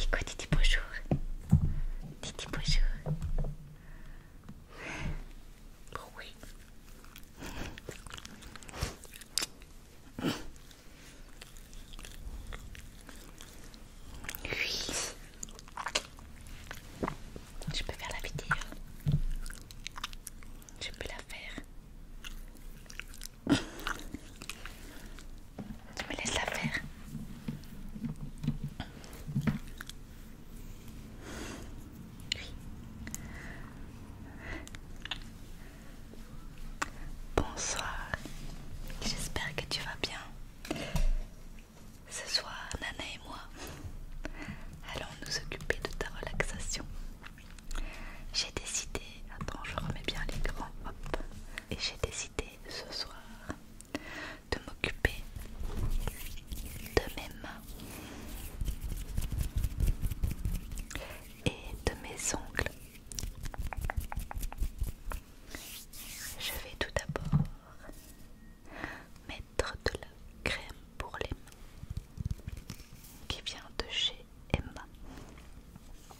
Écoute, dis bonjour. dis bonjour. oui. Oui. Je peux faire la vidéo. Je peux la faire. Tu me laisses la faire. Bonsoir. J'espère que tu vas bien. Ce soir, Nana et moi allons nous occuper de ta relaxation. J'ai décidé, attends je remets bien grands, hop, et j'ai décidé ce soir de m'occuper de mes mains et de mes ongles. Je vais tout d'abord mettre de la crème pour les mains qui vient de chez Emma.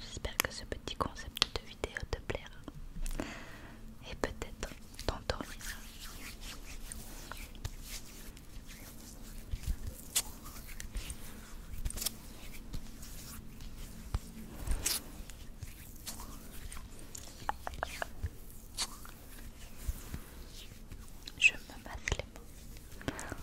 J'espère que ce petit concept de vidéo te plaira et peut-être t'endormira. Je me masse les mots.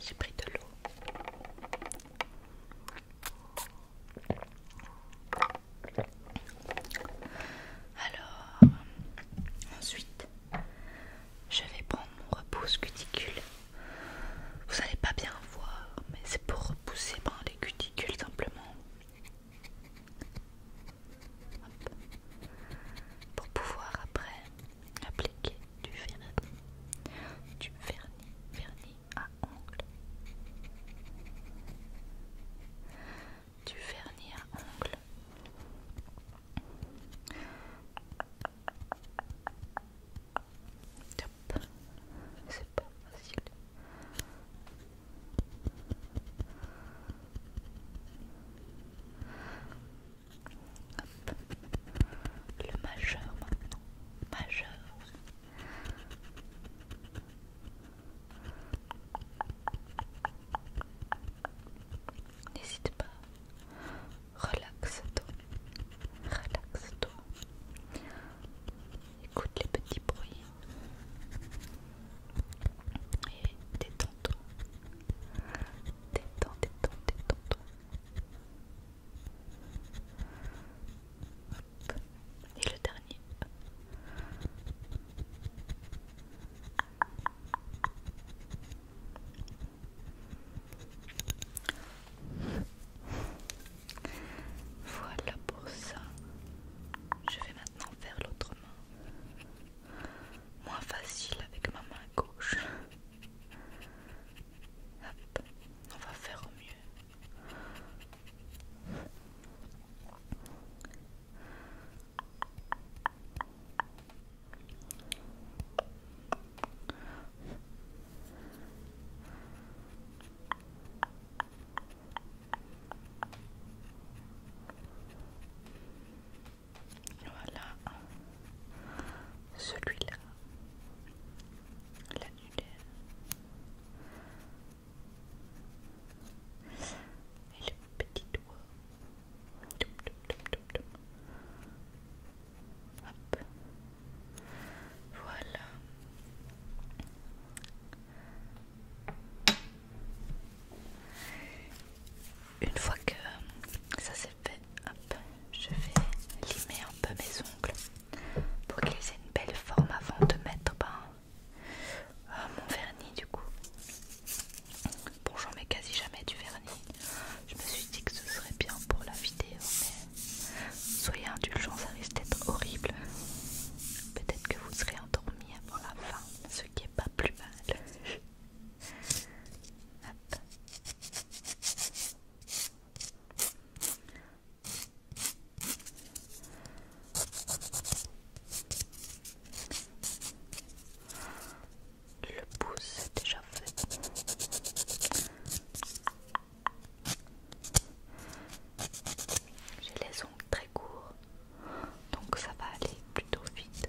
J'ai pris de l'eau. Alors, ensuite, je vais prendre mon repousse cuticule. Vous n'allez pas bien voir, mais c'est pour repousser dans ben, les cuticules simplement. Pour pouvoir après appliquer du vernis, du vernis, vernis à ongles du vernis à ongles. c'est pas facile. Le majeur maintenant. Majeur. N'hésite pas, relaxe-toi, relaxe-toi, écoute les petits bruits et détends-toi, détends, détends, détends-toi et le dernier. Voilà pour ça. Je vais maintenant faire l'autre main. Moins facile avec ma main gauche. on va faire au mieux. Voilà celui-là, la l'annulaire. Et le petit doigt. Voilà. Une fois que ça c'est fait, je vais limer un peu mes ongles pour qu'ils aient une belle forme avant de mettre ben, ah mon vernis du coup. Bon j'en mets quasi jamais du vernis. Je me suis dit que ce serait bien pour la vidéo mais soyez indulgents, ça risque d'être horrible. Peut-être que vous serez endormi avant la fin, ce qui est pas plus mal. Le pouce est déjà fait. J'ai les ongles très courts, donc ça va aller plutôt vite.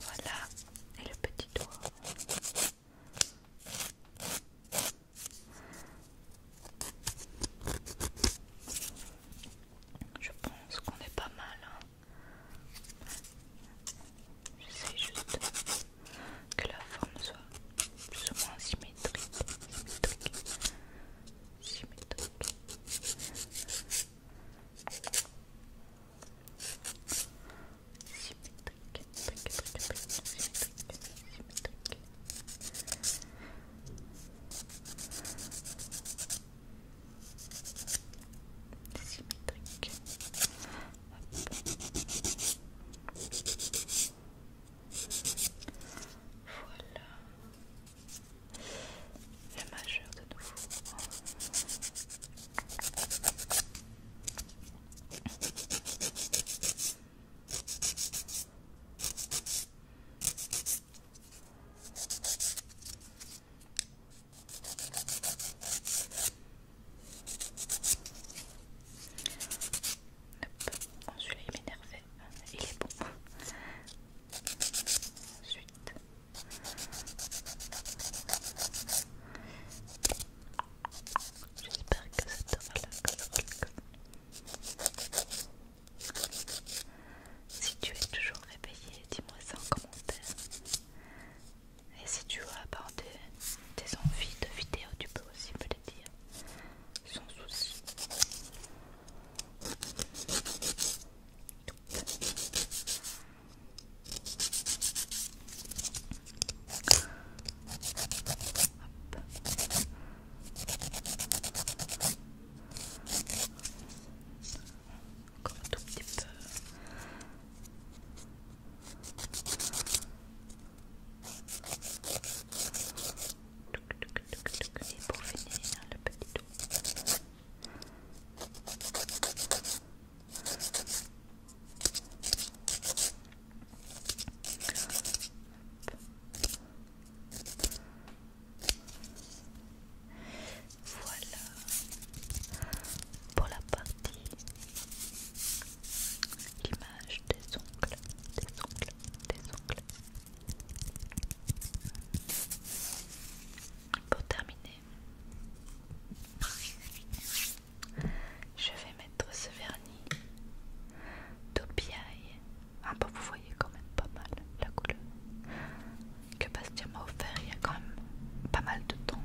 Voilà, et le petit doigt. Je pense qu'on est pas mal. je hein. J'essaie juste que la forme soit plus ou moins symétrique. symétrique. symétrique. Symétrique, Voilà. La majeure de nouveau. Hop, celui-là il m'énervait, il est bon. Ensuite, J'espère que ça te relaxe. Si tu es toujours réveillé, dis-moi ça en commentaire. Et si tu as des, envies de vidéo, tu peux aussi me les dire sans souci. Encore un tout petit peu. Et pour finir, le petit tout. Voilà pour la partie l'image des ongles, des ongles, des ongles. Pour terminer, je vais mettre ce vernis d'Opiaille. Ah bah vous voyez quand même pas mal la couleur que Bastien m'a offert il y a quand même pas mal de temps.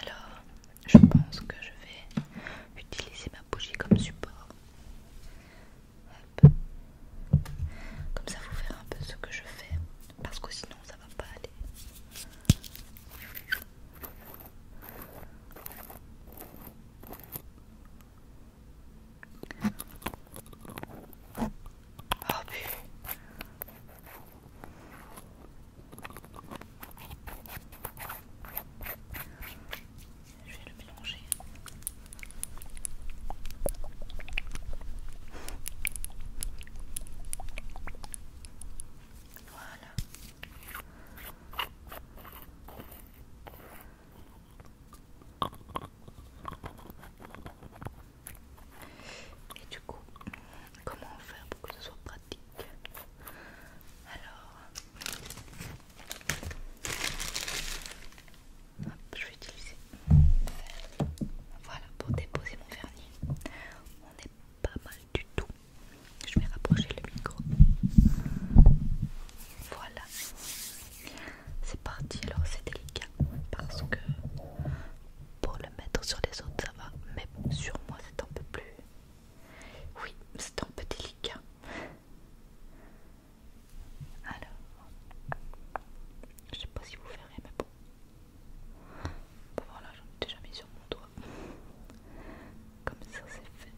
Alors, je pense que je vais utiliser ma bougie comme support. Comme ça, vous verrez un peu ce que je fais parce que sinon ça va pas aller. Ah, je vais le mélanger. Voilà. Et du coup, comment faire pour que ce soit pratique Alors, je vais utiliser Voilà, pour déposer mon vernis. On est pas mal du tout. Je vais rapprocher le micro. Voilà. C'est parti, alors c'est délicat parce que pour le mettre sur les autres ça va, mais sur moi c'est un peu plus... Oui, c'est un peu délicat. Alors, je sais pas si vous verrez, mais bon. Bon, voilà, j'en ai déjà mis sur mon doigt. Comme ça, c'est fait.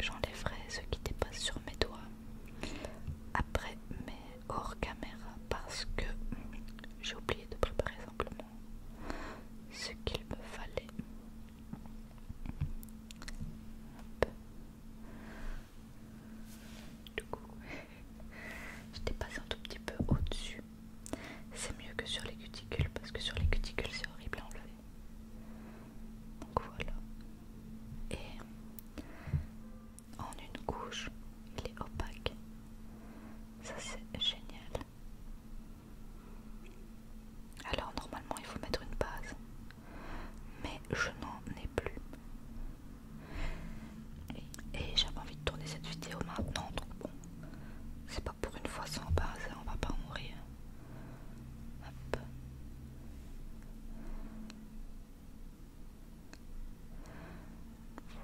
J'enlèverai ce qui dépasse sur mes doigts après, mais hors caméra parce que j'ai oublié de préparer simplement ce qu'il me fallait. Du coup, j'étais passé un tout petit peu au-dessus. C'est mieux que sur les cuticules parce que sur les cuticules c'est horrible à enlever. Donc voilà. Et en une couche, il est opaque. Ça c'est génial. Alors normalement il faut mettre une base, mais je n'en ai plus. Et j'avais envie de tourner cette vidéo maintenant, donc bon, c'est pas pour une fois sans base, hein, on va pas mourir.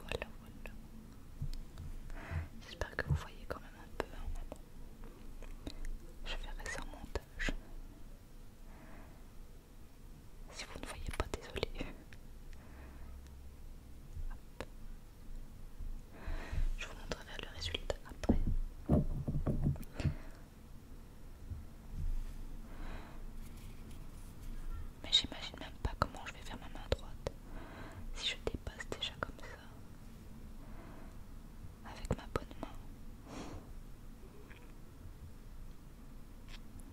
Voilà, voilà. J'espère que vous voyez quand même un peu hein. Je verrai ça en montage. Si vous ne voyez pas, désolé. Je vous montrerai le résultat après mais j'imagine même pas comment je vais faire ma main droite si je dépasse déjà comme ça avec ma bonne main.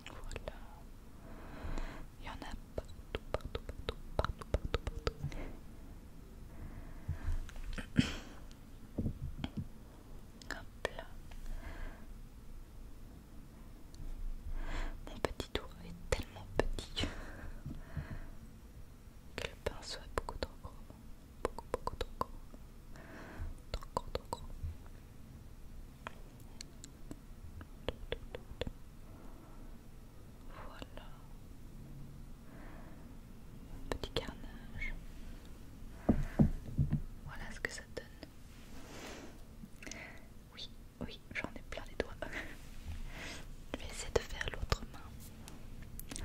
Voilà. Il y en a partout, partout, partout, partout, partout, partout. Hum. là. Mon petit tour est tellement petit que le pinceau est beaucoup trop gros. Beaucoup, beaucoup trop gros. Trop gros, trop gros. Voilà. Petit carnage. Voilà ce que ça donne. Oui, oui, j'en ai plein les doigts. je vais essayer de faire l'autre main.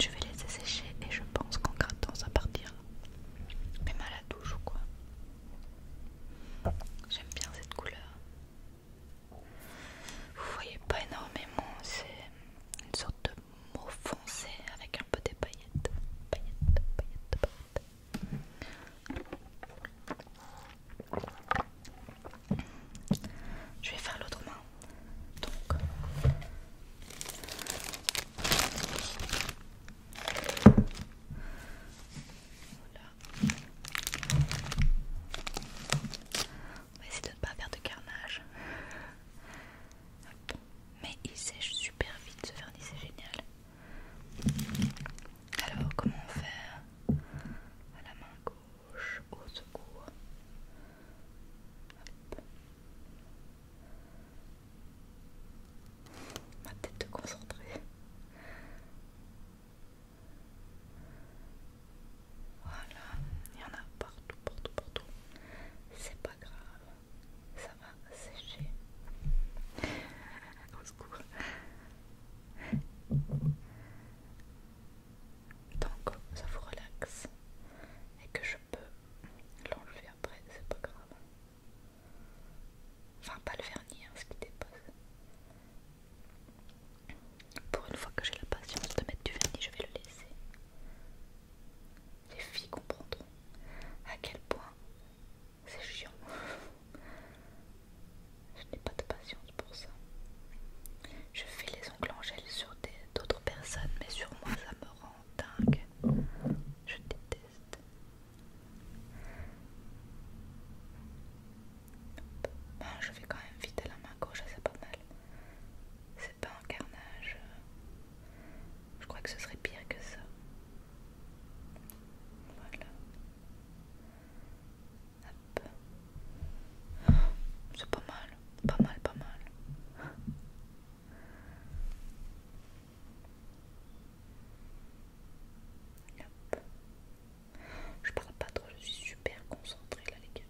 Je vais laisser sécher et je pense qu'en grattant ça partir. Mais mal à douche ou quoi J'aime bien cette couleur. Vous voyez pas énormément, c'est une sorte de mot foncé avec un peu des paillettes. Paillettes, paillettes, paillettes. Je vais faire l'autre main. Donc voilà. On va essayer de ne pas faire de carnage. Mais il sèche super vite ce vernis, c'est génial. Alors, comment faire à la main gauche au secours Ma tête te concentrée. Voilà, il y en a partout, partout, partout. C'est pas grave ça va sécher. Au secours. Donc, ça vous relaxe et que je peux l'enlever après, c'est pas grave. Enfin, pas le vernis, hein, ce qui dépose. Pour une fois que j'ai la patience de mettre du vernis, je vais le laisser. Les filles comprendront à quel point c'est chiant. Je n'ai pas de patience pour ça. Je fais les ongles en gel sur d'autres personnes, mais sur moi ça me rend dingue. Je déteste. je vais quand même vite à la main gauche, c'est pas mal. C'est pas un carnage. Je crois que ce serait pire que ça. Voilà. C'est pas mal, pas mal, pas mal. Je parle pas trop, je suis super concentrée là les gars.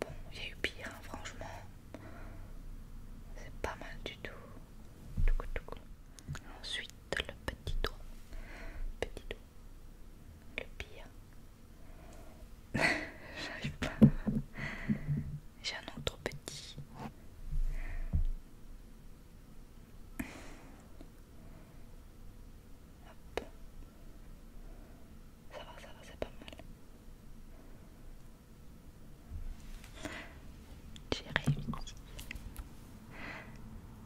Bon, j'ai eu pire, hein, franchement. C'est pas mal du tout. Ensuite, le petit doigt. Petit doigt. Le pire. J'arrive pas. J'ai un autre petit. Ça va, ça va, c'est pas mal. J'ai réussi.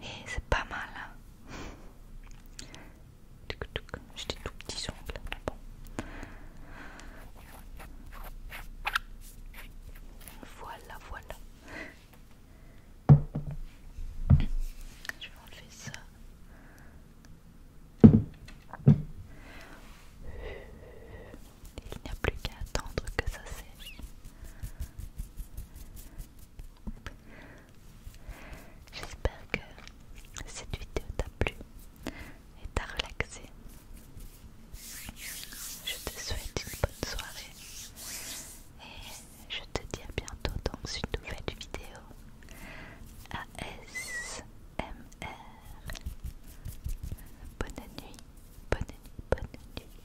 Et c'est pas mal. Hein. j'étais J'ai des tout petits ongles. Bon. Voilà, voilà. Je vais enlever ça. Il n'y a plus qu'à attendre que ça sèche. J'espère que cette vidéo t'a plu et t'a relaxé. Je te souhaite une bonne soirée et je te dis à bientôt dans une nouvelle vidéo ASMR. Bonne nuit, bonne nuit, bonne nuit.